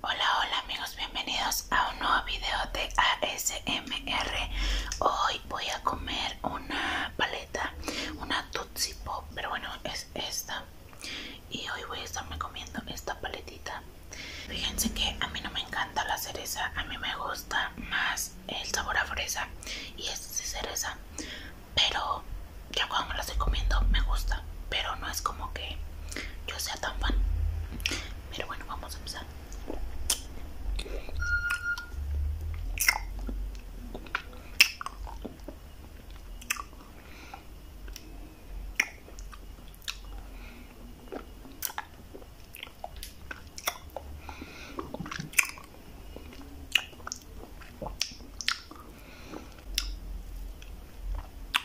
Hola, hola amigos, bienvenidos a un nuevo video de ASMR. Hoy voy a comer una paleta, una Tootsie Pop, pero bueno, es esta. Y hoy voy a estarme comiendo esta paletita. Fíjense que a mí no me encanta la cereza, a mí me gusta más el sabor a fresa y es cereza. Pero ya cuando la estoy comiendo me gusta, pero no es como que yo sea tan fan. Pero bueno, vamos a empezar.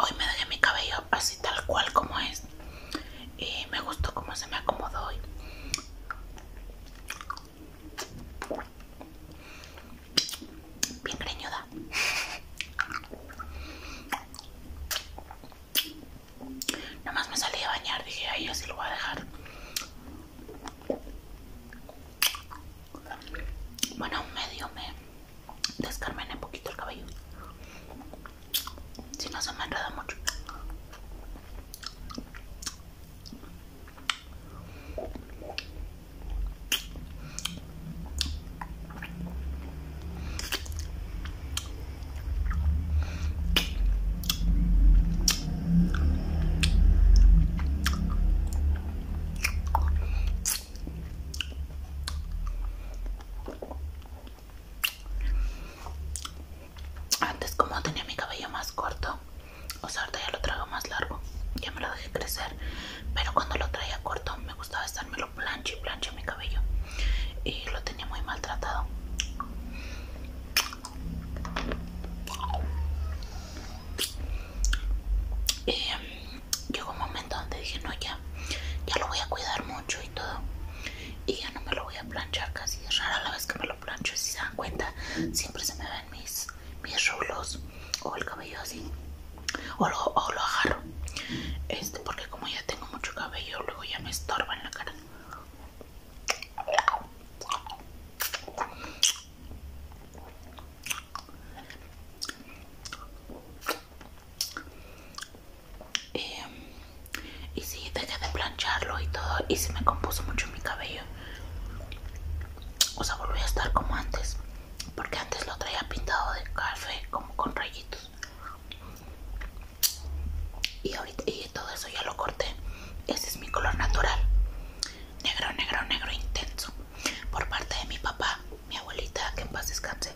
Hoy me doy mi cabello así tal cual como es y pues, eh, me gustó cómo se me acomodó Bien greñuda. Nomás me salí a bañar, dije, ahí así lo voy a dejar. Bueno, medio me descarmené un poquito el cabello si no se me enreda mucho antes como tenía mi cabello más corto, o sea, ahorita ya lo traigo más largo, ya me lo dejé crecer, pero cuando lo traía corto me gustaba estármelo plancha y plancha mi cabello y lo tenía muy maltratado. Em, llegó un momento donde dije, no, ya, ya lo voy a cuidar mucho y todo y ya no me lo voy a planchar casi es rara la vez que me lo plancho si se dan cuenta siempre se me ven mis mis rulos o el cabello así o lo, o lo agarro este porque como ya tengo mucho cabello luego ya me estorba en la cara y em, si dejé de plancharlo y todo y se me compuso mucho mi cabello o sea volví a estar como antes porque antes lo traía pintado de café como con rayitos y ahorita y todo eso ya lo corté ese es mi color natural negro negro negro intenso por parte de mi papá mi abuelita que en paz descanse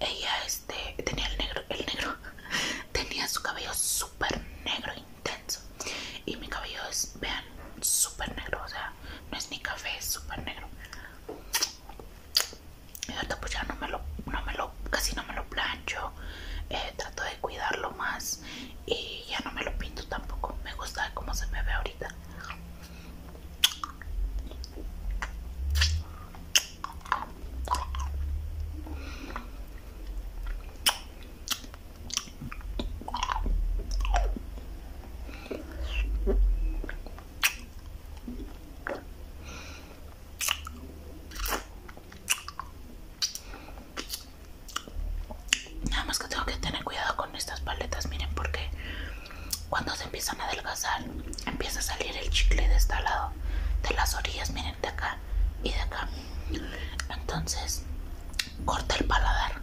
ella este, tenía el negro, el negro, tenía su cabello súper negro intenso. Y mi cabello es, vean, súper negro, o sea, no es ni café, es super negro. Y ahorita pues ya no me lo, no me lo, casi no me lo plancho. Eh, trato de cuidarlo más y ya no me lo pinto tampoco. Me gusta cómo se me ve ahorita. Nada más que tengo que tener cuidado con estas paletas, miren, porque cuando se empiezan a adelgazar, empieza a salir el chicle de este lado, de las orillas, miren, de acá y de acá. Entonces, corta el paladar.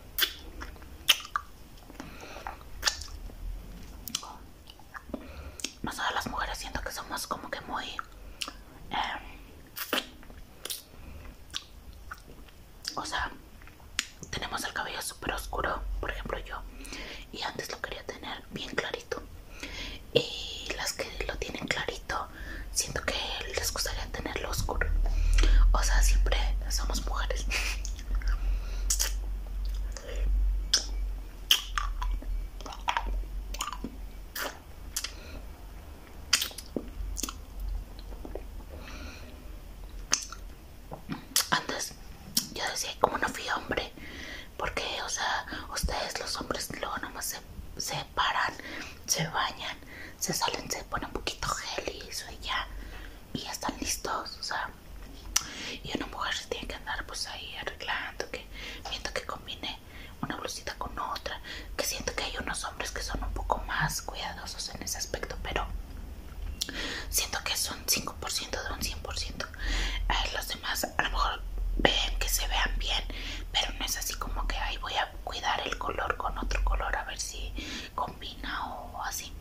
todas las mujeres siento que somos como que muy... Em, o sea, tenemos el cabello súper oscuro, por ejemplo yo, y antes lo quería tener bien clarito. Y las que lo tienen clarito Siento que les gustaría tenerlo oscuro. O sea, siempre somos mujeres. Antes yo decía, como no fui hombre, porque, o sea, ustedes los hombres luego nomás se paran, se bañan, se salen, se ponen un poquito gel y eso y ya, y ya están listos, o sea, y una mujer se tiene que andar pues ahí arreglando, que siento que combine una blusita con otra, que siento que hay unos hombres que son un poco más cuidadosos en ese aspecto, pero siento que son 5% de un 100%, eh, los demás a lo mejor ven que se vean bien, pero no es así como que ahí voy a cuidar el color con otro color a ver si combina o así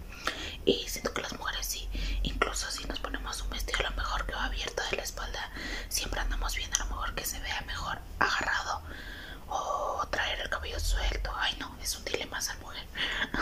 y siento que las mujeres sí incluso si nos ponemos un vestido a lo mejor que va abierto de la espalda siempre andamos viendo a lo mejor que se vea mejor agarrado o traer el cabello suelto ay no es un dilema esa mujer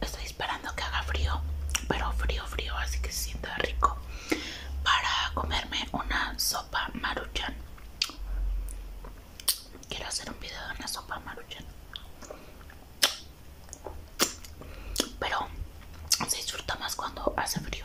Estoy esperando que haga frío, pero frío, frío, así que se sienta rico para comerme una sopa maruchan. Quiero hacer un video de una sopa maruchan, pero se disfruta más cuando hace frío.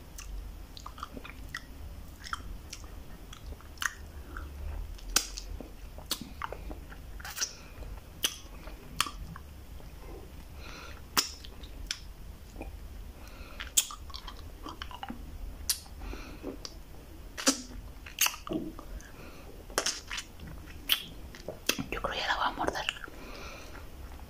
Yo creo que la va a morder.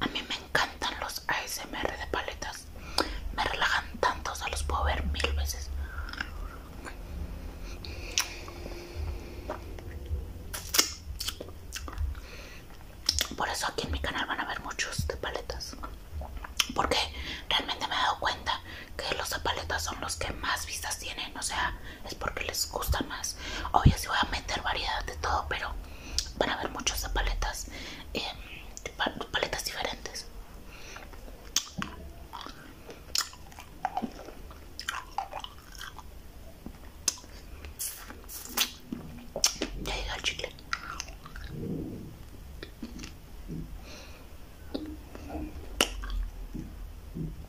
A mí me encantan los ASMR de paletas. Me relajan tanto, o sea, los puedo ver mil veces. Por eso aquí en mi canal van a ver muchos de paletas. Porque realmente me he dado cuenta que los de paletas son los que más vistas tienen. O sea, es porque les gusta más. Obvio, si voy a meter variedad de todo, pero van a ver muchas paletas, eh, paletas diferentes. Ya llega el chicle.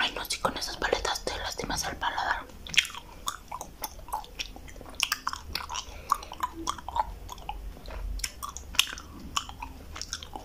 Ay, no, si con esas paletas te lastimas al paladar.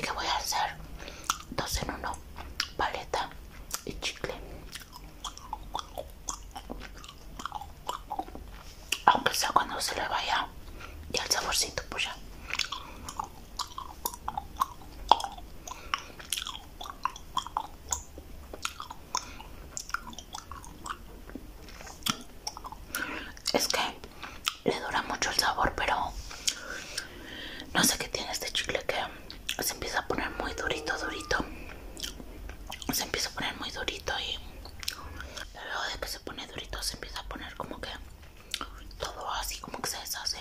que voy a hacer dos en uno, paleta y chicle. Aunque sea cuando se le vaya y al saborcito, pues ya es que le dura mucho el sabor, pero no sé qué tiene este chicle que se empieza a poner muy durito, durito. Se empieza a poner muy durito y luego de que se pone durito se empieza a poner como que todo así, como que se deshace.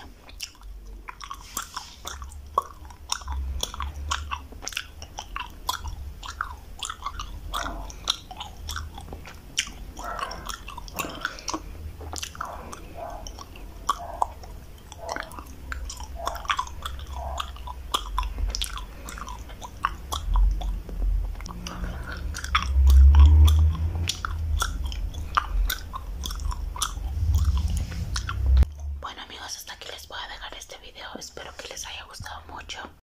Bueno amigos, hasta aquí les voy a dejar este video. Espero que les haya gustado mucho.